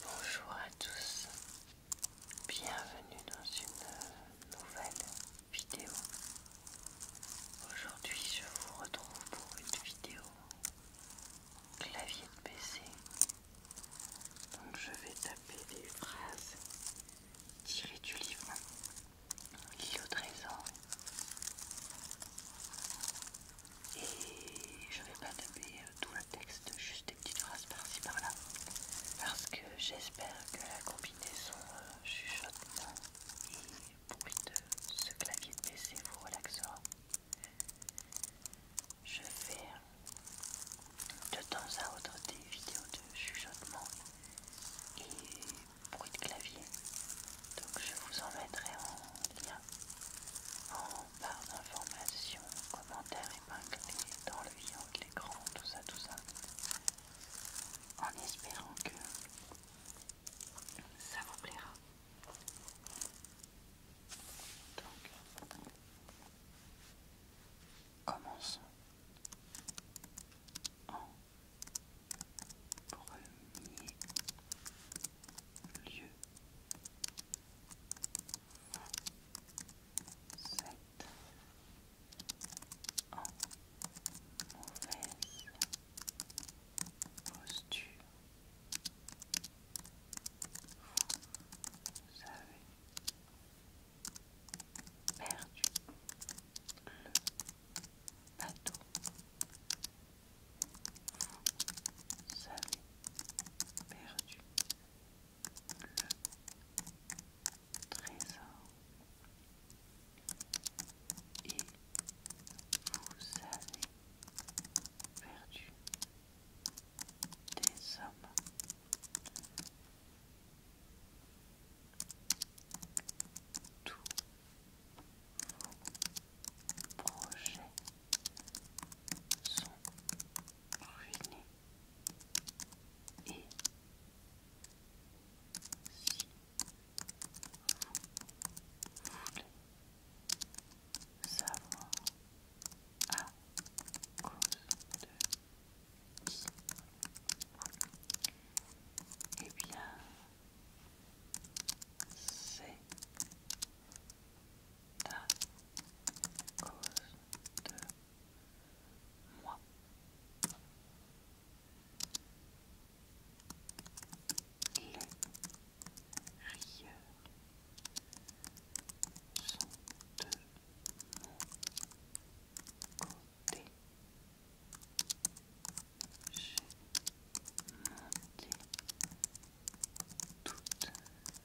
Bonjour à tous, bienvenue dans une nouvelle vidéo. Aujourd'hui je vous retrouve pour une vidéo clavier de PC. Donc je vais taper des phrases tirées du livre a 13 ans et je vais pas taper euh, tout le texte, juste des petites phrases par-ci par-là parce que j'espère que la combinaison euh, chuchotement et bruit de ce clavier de PC vous relaxera. Je fais de temps à autre des vidéos de chuchotement et bruit de clavier. Donc je vous en mettrai en lien par d'informations, commentaires épinglés dans le avec l'écran, tout ça, tout ça. En espérant que ça vous plaira. Donc, commençons en premier lieu sept en mauvaise posture. Vous avez perdu le bateau vous avez perdu le trésor et vous avez perdu des hommes. Tous vos projets sont ruinés et si vous voulez savoir à cause de qui eh bien c'est à cause de moi. Les rieurs sont de mon côté. J'ai monté toute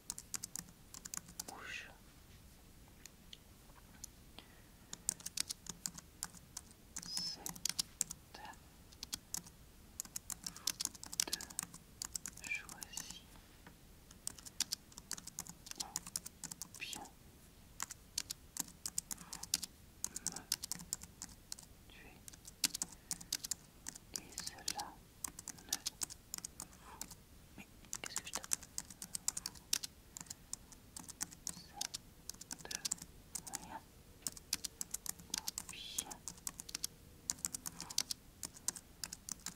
rouge. C'est de choisir ou bien vous me tuer et cela ne vous qu'est-ce que je tape Ça, deux, rien. Puis,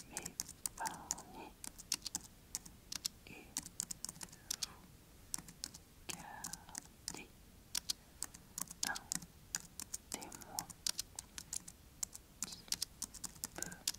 m'épargner et vous garder un témoin qui peut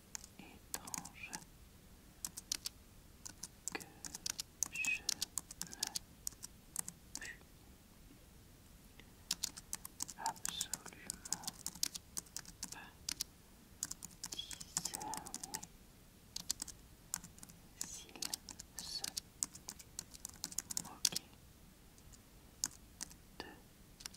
étrange que je ne puis absolument pas discerner s'il se moquait de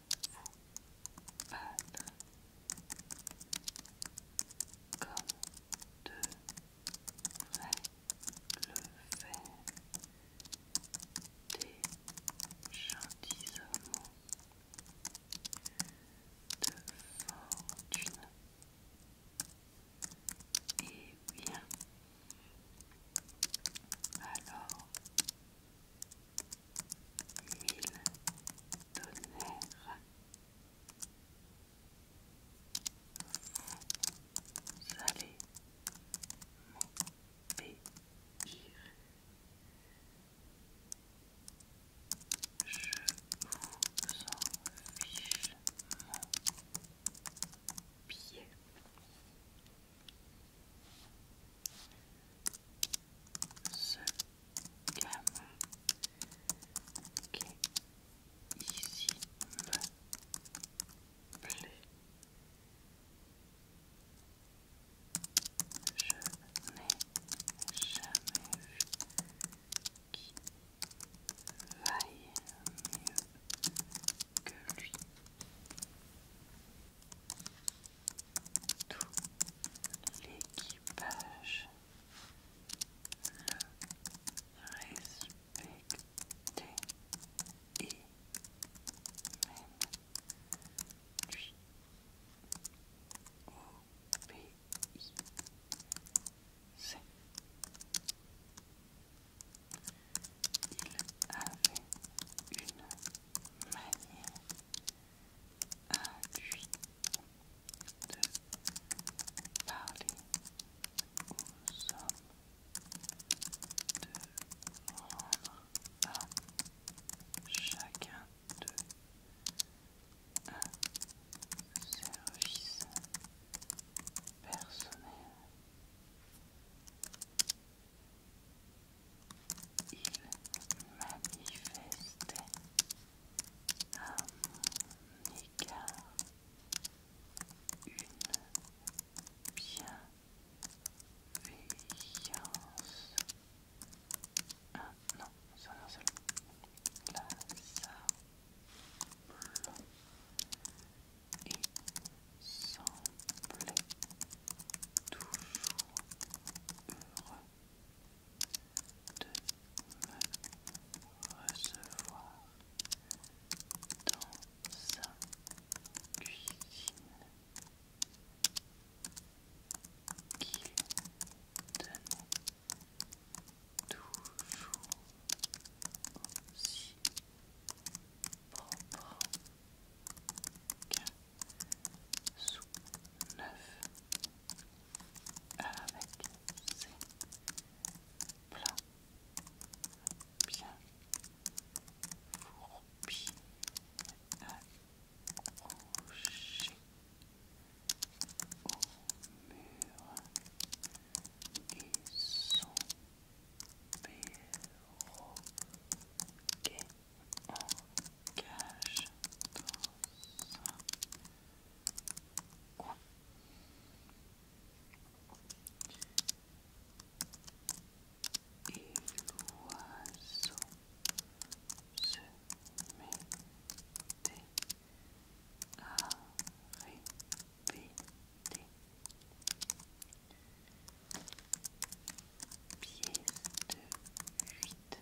battre comme le des gentilshommes de fortune. Eh bien, alors mille tonnerres vous allez m'obéir je vous en fiche mon pied ce gamin qui est ici me plaît. Je n'ai jamais vu qui vaille mieux que lui tout l'équipage le respectait et même lui obéissait. Il avait une manière induite de parler aux hommes, de rendre à chacun d'eux un service personnel. Il manifestait à mon égard une bienveillance. Ah non, c'est un seul. La sable et semblait toujours heureux de me recevoir dans sa cuisine, qu'il donne toujours aussi propre qu'un sous neuf avec ses plats bien fourbis accrochés au mur et son perroquet engage dans Et l'oiseau se met à répéter pièce de huit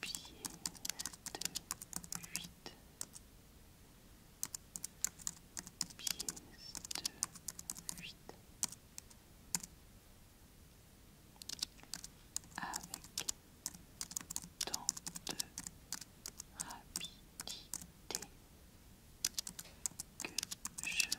pièce de huit pièce de huit avec tant de rapidité que je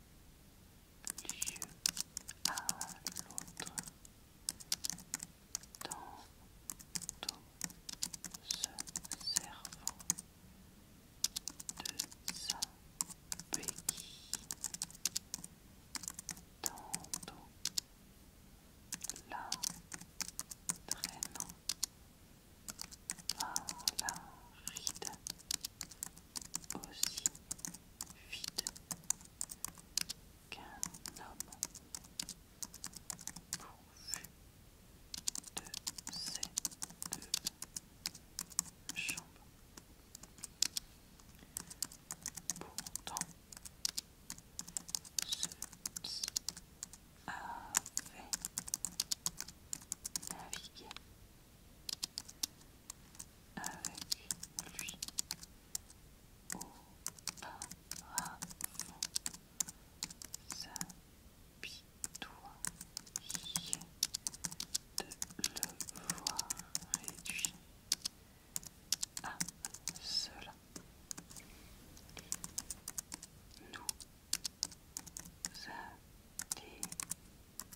l'un à l'autre tantôt se servant de sa béquille tantôt la traînant ah, la ride aussi vide qu'un homme pourvu de ses deux jambes. Pourtant, ce qui avait navigué avec lui auparavant. S'apitoyer de le voir réduit à cela. Nous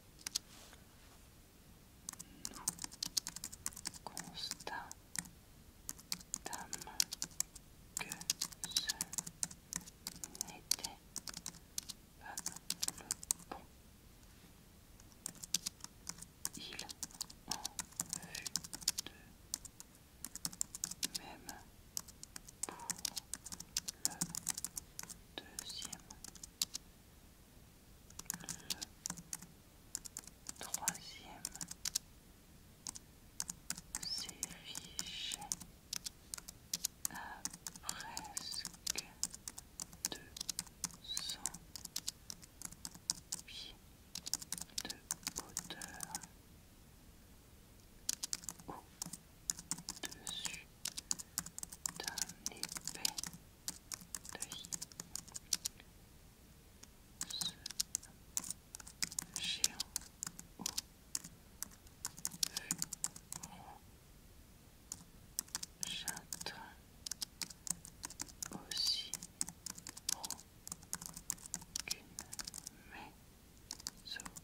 nous constatâmes que ce n'était pas le bon. Il en fut de même pour le deuxième, le troisième s'effiche à presque deux cents pieds de hauteur dessus d'un épais deuil. Ce géant au aussi rond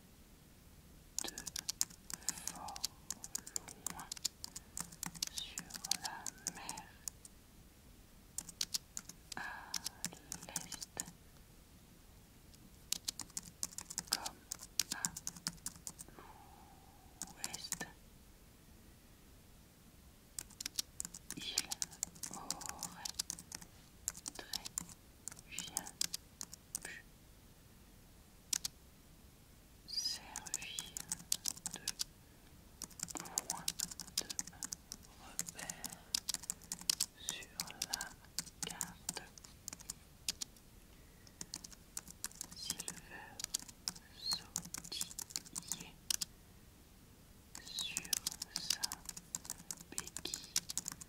de fort loin sur la mer à l'est comme à l'ouest. Il aurait très bien pu servir de point de repère sur la carte. Silver sautillé sur sa béquille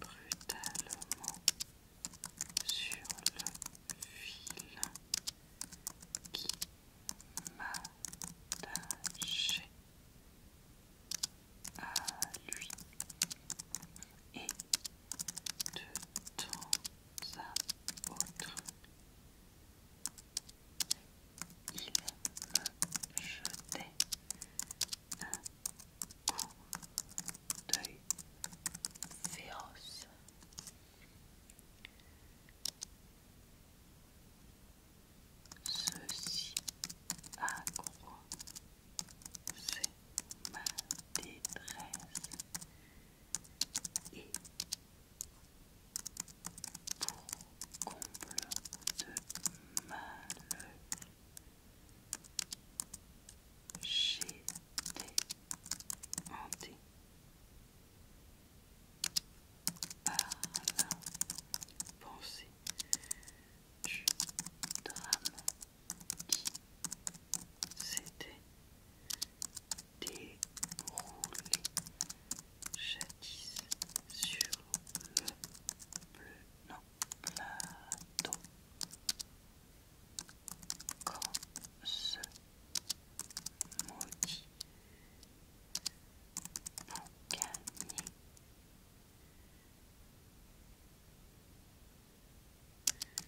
brutalement sur le fil qui m'attachait à lui et de temps à autre il me jetait un un d'œil féroce. Ceci c'est ma détresse et pour comble de malheur J'étais hanté par la pensée du drame qui s'était déroulé jadis sur le bleu. Mado. Quand ce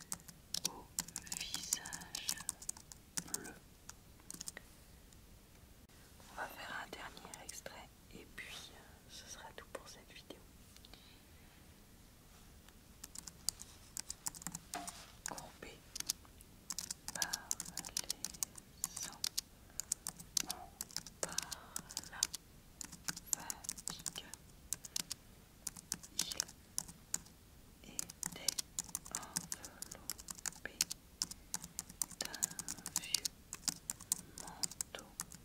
maudit boucanier au visage bleu. On va faire un dernier extrait et puis euh, ce sera tout pour cette vidéo. Courbé par les sangs, on par la fatigue. Il était enveloppé d'un vieux manteau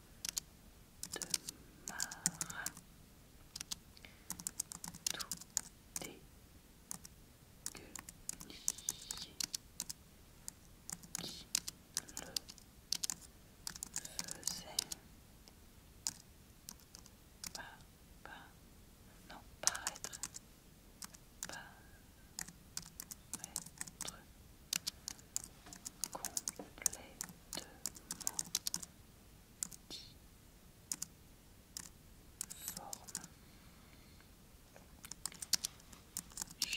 de Marin, Tout qui le faisait. non, complètement difforme. Je n'avais jamais vu de ma vie un personnage aussi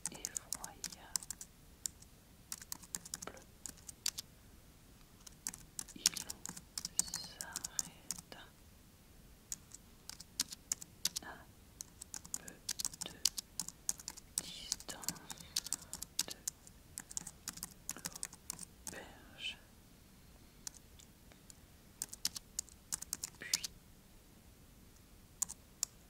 effroyable. Il s'arrête à peu de distance de l'auberge.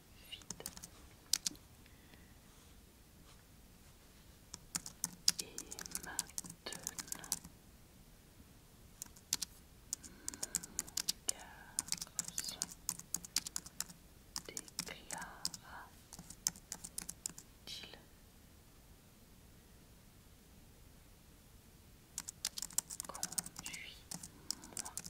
vide. Et maintenant, mon garçon déclara-t-il. Conduis-moi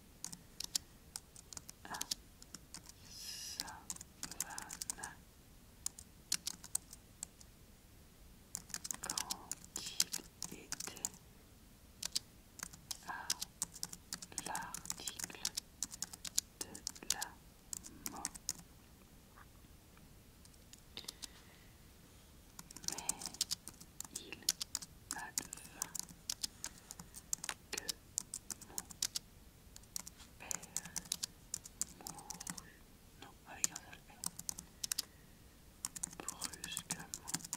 savane quand il était à l'article de la mort. Mais il advint que mon père mourut, non, avec un seul père, brusquement cette nuit-là, ce qui me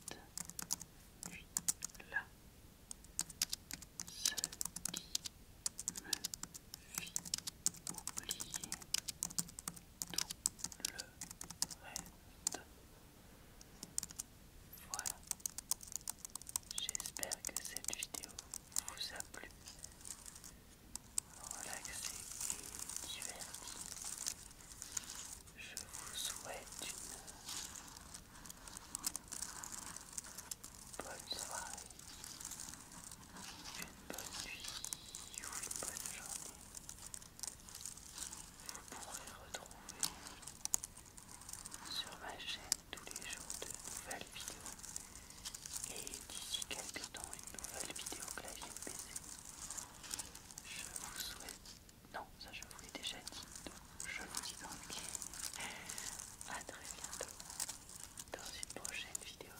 fit oublier tout le reste. Voilà. J'espère que cette vidéo vous a plu. Relaxé et diverti. Je vous souhaite une bonne soirée, une bonne nuit ou une bonne journée. Vous pourrez retrouver sur ma chaîne tous les jours de nouvelles vidéos et d'ici quelques temps une nouvelle vidéo clavier PC. Je vous souhaite... Non, ça je vous l'ai déjà dit, je vous dis donc à très bientôt dans une prochaine vidéo.